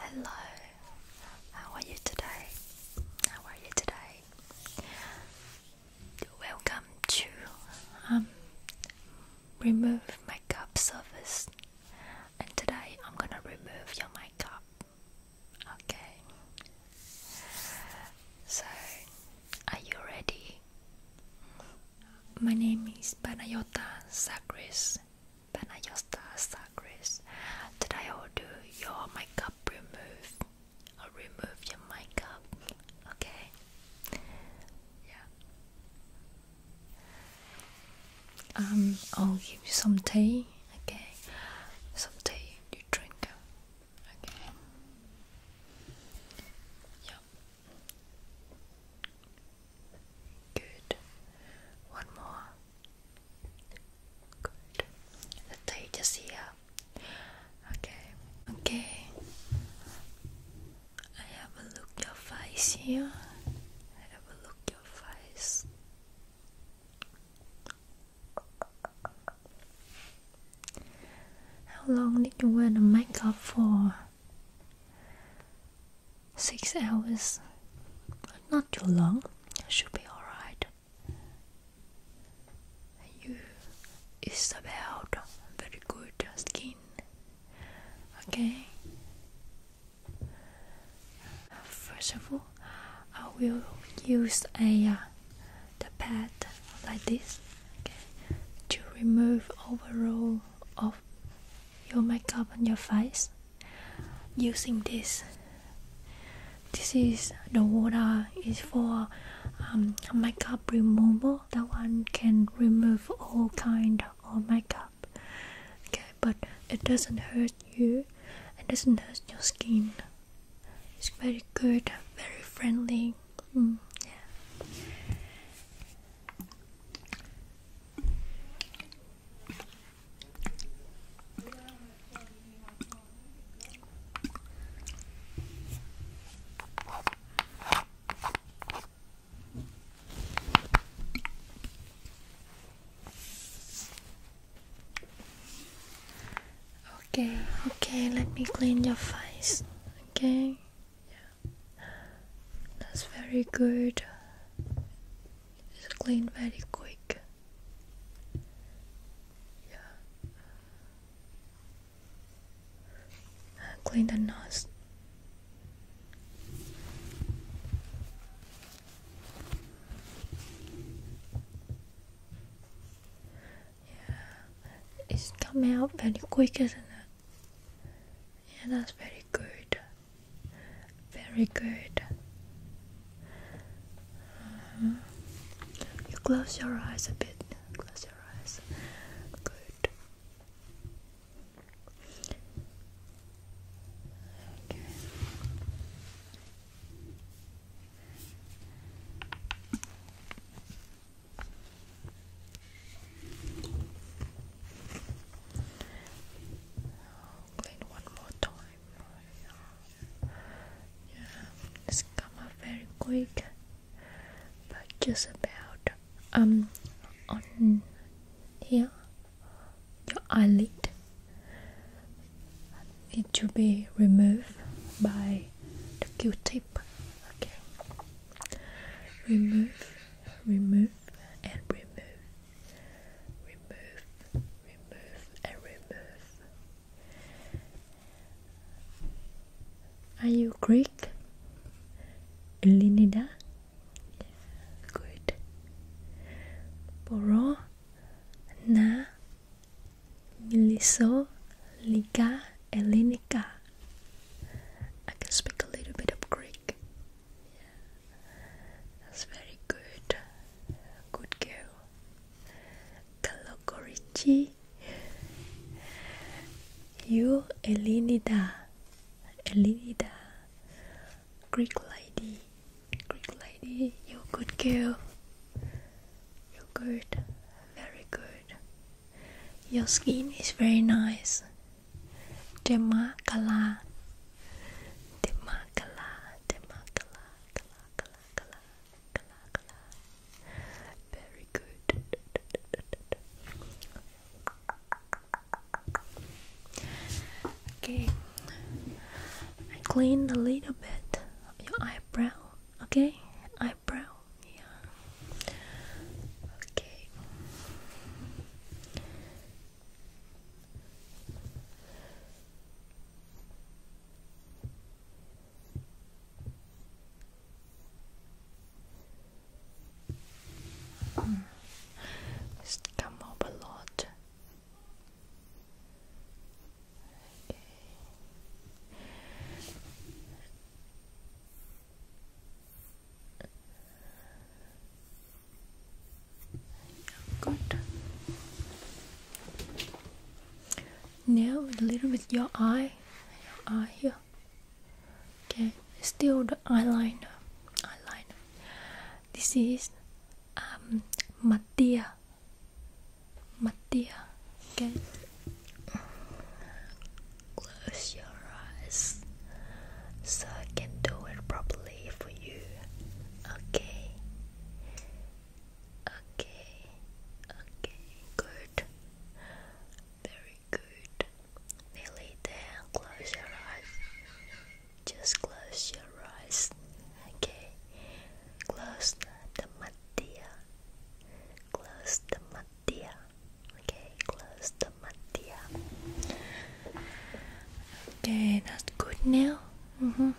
Hello, how are you today? How are you today? Welcome to um, Remove Makeup Service, and today I'm gonna remove your makeup. Okay, so are you ready? My name is Panayota Sakris. Banayasta Sagris. Did I order your makeup remove? I'll oh, remove your makeup. Okay. Yeah. Um, I'll give you some tea. Okay. Some tea you drink. Okay. Yeah. Good. One more. Good. The date is here. Okay. Okay. I have a look your face here. I have a look your face. How long did you wear the makeup for? six hours, not too long. Should be alright. You is about very good skin. Okay. First of all, I will use a uh, the pad like this okay, to remove overall of your makeup on your face using this this is the water is for um, makeup remover. that one can remove all kind of makeup okay but it doesn't hurt you it doesn't hurt your skin it's very good very friendly mm, yeah Okay, okay, let me clean your face. Okay, yeah, that's very good. It's clean very quick. Yeah. Uh, clean the nose. Yeah, it's coming out very quick, isn't it? Yeah, that's very good. Very good. Uh-huh. You close your eyes a bit. Close your eyes. Good. Okay clean one more time. Yeah, it's come up very quick, but just about um on here your eyelid need to be removed by the Q-tip. Okay, remove, remove and remove, remove, remove and remove. Are you Greek? Elinida? Good. Boro na miliso liga Elinica. I can speak a little bit of Greek. That's very good. Good girl. Kalokorichi. You, Elinida. Elinida. Greek lady. Greek lady. You good girl. You good. Very good. Your skin is very nice. Demakala Demakala Demakala Kala Kala Very good Okay I cleaned a little bit of your eyebrow okay eyebrow yeah okay Mm. It's come up a lot good now a little with your eye your eye here okay still the eyeliner eyeliner this is um Mattia. matia okay close your eyes so I can do it properly for you. Okay. Okay. Okay. Good. Very good. Nearly there. Close your eyes. Just close your eyes. Okay. Close the, the Close the matia. Okay, close the matia. Okay, that's good now. Mm-hmm.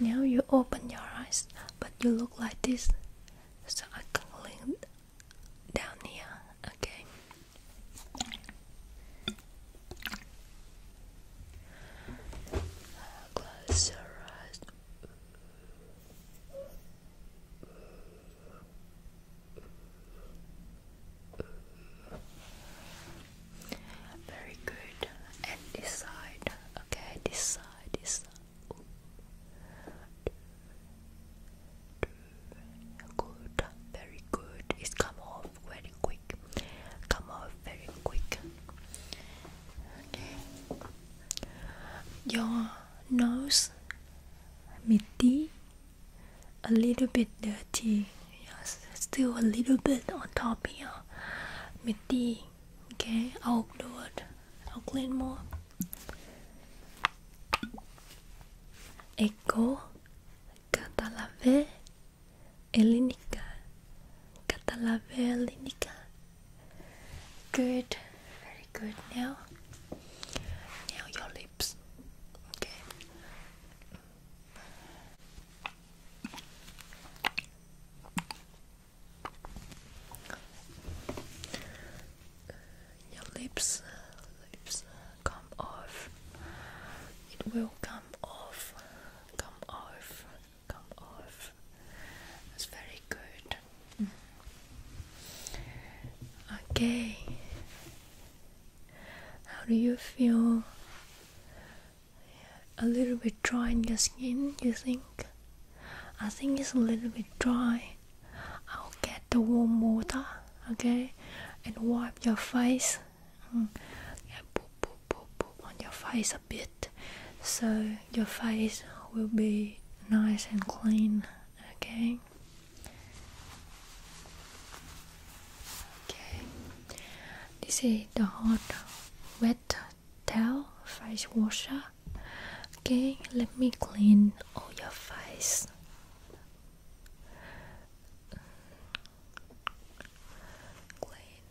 Now you open your eyes, but you look like this, so I can link down here. Okay. Close your eyes. Very good. And this Okay, this side, Good, very good. It's come off very quick. Come off very quick. Your nose, midi, a little bit dirty yes still a little bit on top here mitty okay I'll do it I'll clean more εγώ καταλαβέ ελληνικά Καταλαβέ ελληνικά Good very good. Now, now your lips. Okay. Your lips, lips come off. It will come off, come off, come off. That's very good. Okay. How do you feel? A little bit dry in your skin, you think? I think it's a little bit dry. I'll get the warm water, okay, and wipe your face. Mm. Yeah, boop, boop, boop, boop on your face a bit, so your face will be nice and clean, okay. Okay, this is the hot wet towel face washer. Okay, let me clean all your face. Clean,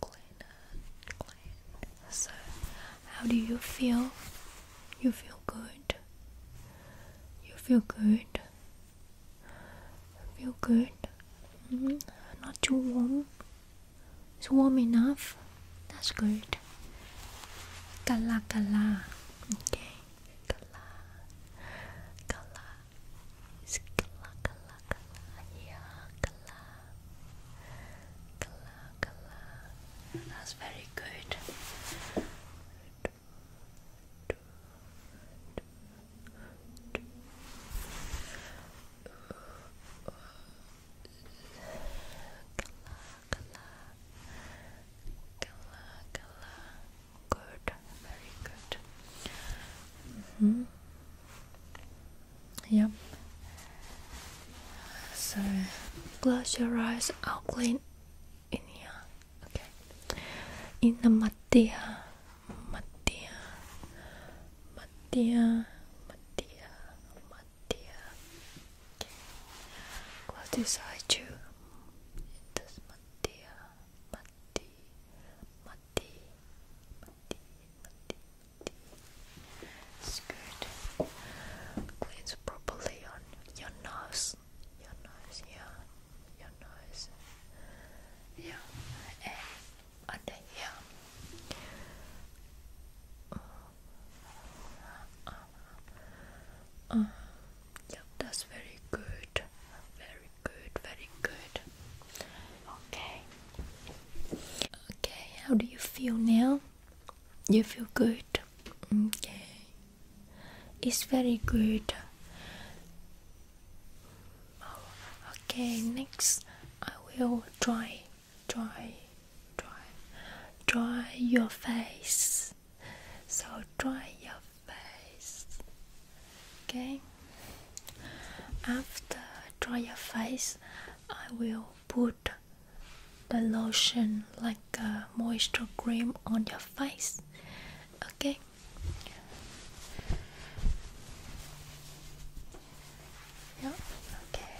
clean, clean. So, how do you feel? you feel good. You feel good. Feel good. Mm-hmm. Not too warm. It's warm enough. That's good. Kala kala. Okay. Kala. Kala. It's kala kala kala. Yeah. Kala. That's very good. Color, good, very good. Mm so close your eyes outline ini ya oke okay. In the matia matia matia matia okay. close this eye too this matia mati mati mati mati mati It's good. Cleans properly on your nose. Your nose, yeah. Your nose. Yeah. And under Yep, that's very good. Very good, very good. Okay. Okay, how do you feel now? you feel good okay it's very good okay next i will dry dry dry dry your face so dry your face okay after dry your face i will put the lotion like a moisture cream on your face okay yeah okay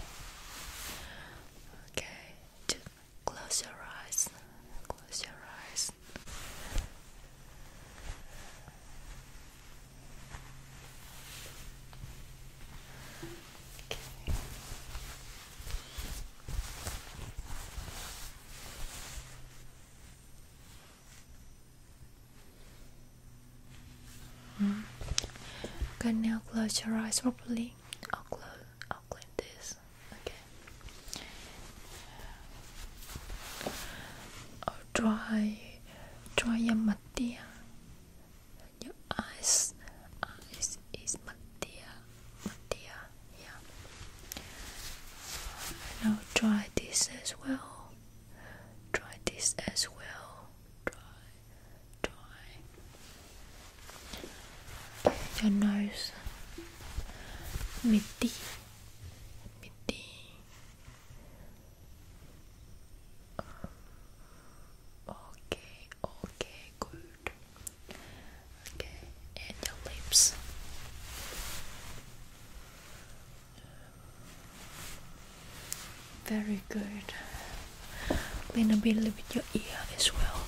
okay just close your eyes close your eyes Hmm. Okay. Mm. now close your eyes properly. I'll close. I'll clean this. Okay. I'll dry, dry your mouth your eyes eyes is my dear, yeah and I'll try this as well try this as well try try your nose Mitti Mitti Okay, okay, good. Okay, and your lips. Very good. Clean a little bit your ear as well.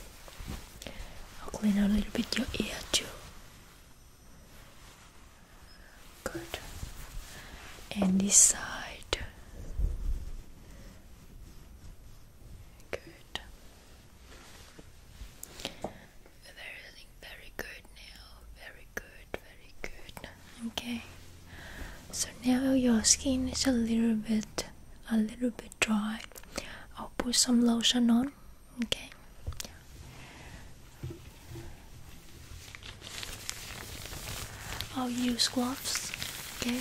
I'll clean a little bit your ear too. Good. And this side. Good. they very good now. Very good, very good. Okay. So now your skin is a little bit a little bit dry. I'll put some lotion on. Okay. I'll use gloves. Okay.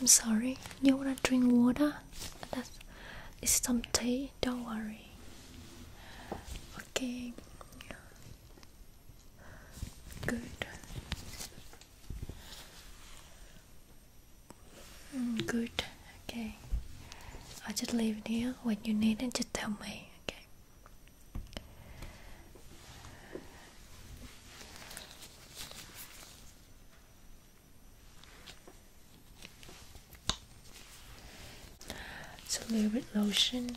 I'm sorry, you wanna drink water? That's, it's some tea, don't worry. Okay, good. Mm, good, okay. i just live here. When you need it, just tell me, okay? It's little bit lotion.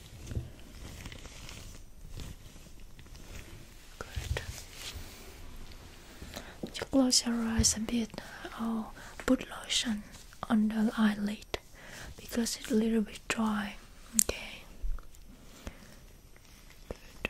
Good. You close your eyes a bit or oh, put lotion on the eyelid because it's a little bit dry. Okay. Good.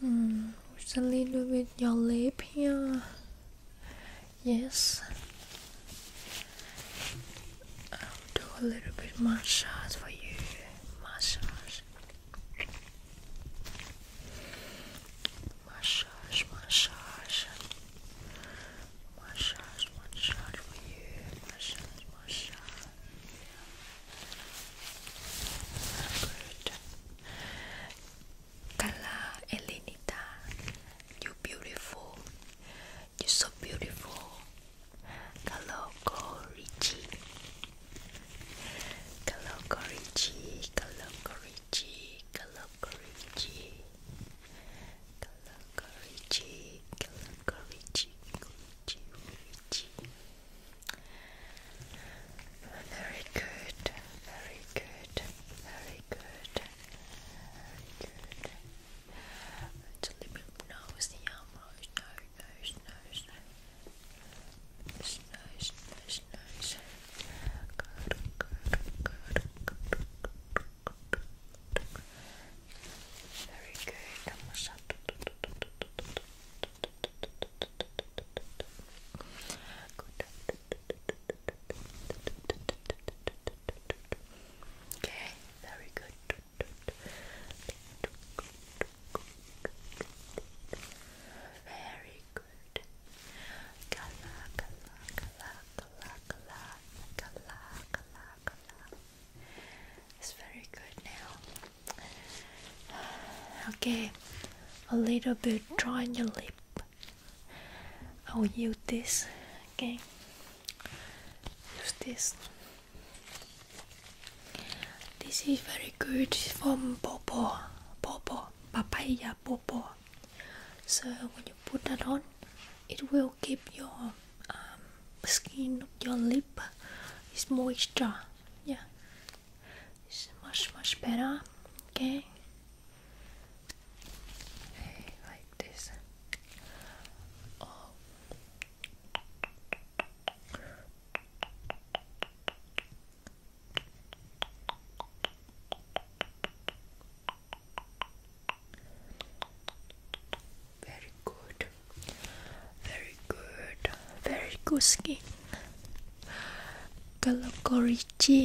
Hmm, just a little bit your lip here. Yes. I'll do a little bit massage for you. Massage. Massage, massage. Massage, massage for you. Massage, massage. Good. Carla, Elenita, you beautiful. You're so beautiful. Kaloko Richie. Kaloko Richie. Kaloko Richie. Kaloko Richie. Kaloko Richie. Kaloko Richie. Richie. Very good, very good, very good, very good. It's a little bit nosy, almost nose, nose, nose, nose, nose, nose. Good, good, good, good, good. Very good. Okay, very good. Very good. It's very good now. Okay, a little bit dry on your lip. I will use this again. Use this. This is very good from Bobo, Bobo, Papaya Bobo. So when you put that on, it will keep your um, skin, your lip, is moisture. Yeah, this is much much better. Okay. like this. Very good, very good, very good skin, Kalakorichi.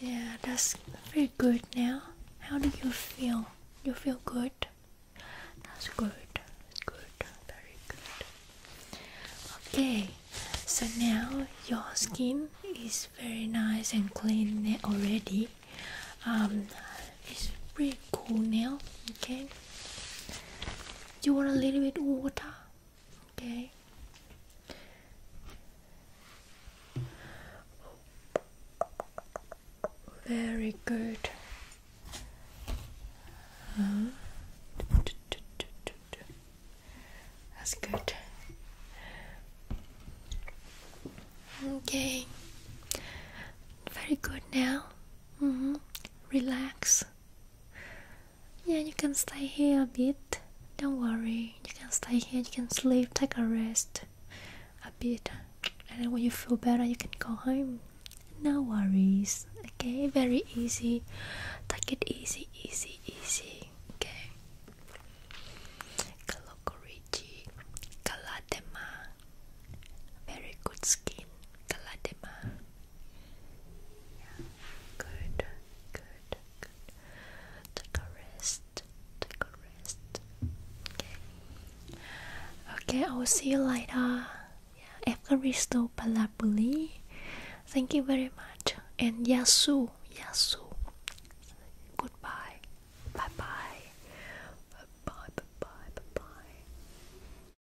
Yeah, that's very good now. How do you feel? You feel good? That's good. good. Very good. Okay, so now your skin is very nice and clean already. Um, it's pretty cool now. Okay, you want a little bit water okay very good that's good okay very good now -hmm. relax yeah, you can stay here a bit. Don't worry, you can stay here, you can sleep, take a rest a bit. And when you feel better, you can go home. No worries, okay? Very easy. Take it easy, easy, easy, okay? Kalokorichi, Kaladema. Very good skin, Kaladema good, good, good. Take a rest, take a rest. Okay. Okay, I will see you later. Yeah, Evaristo Palabuli. Thank you very much. And Yasu, Yasu. Goodbye. Bye bye. Bye bye. Bye bye. bye, -bye.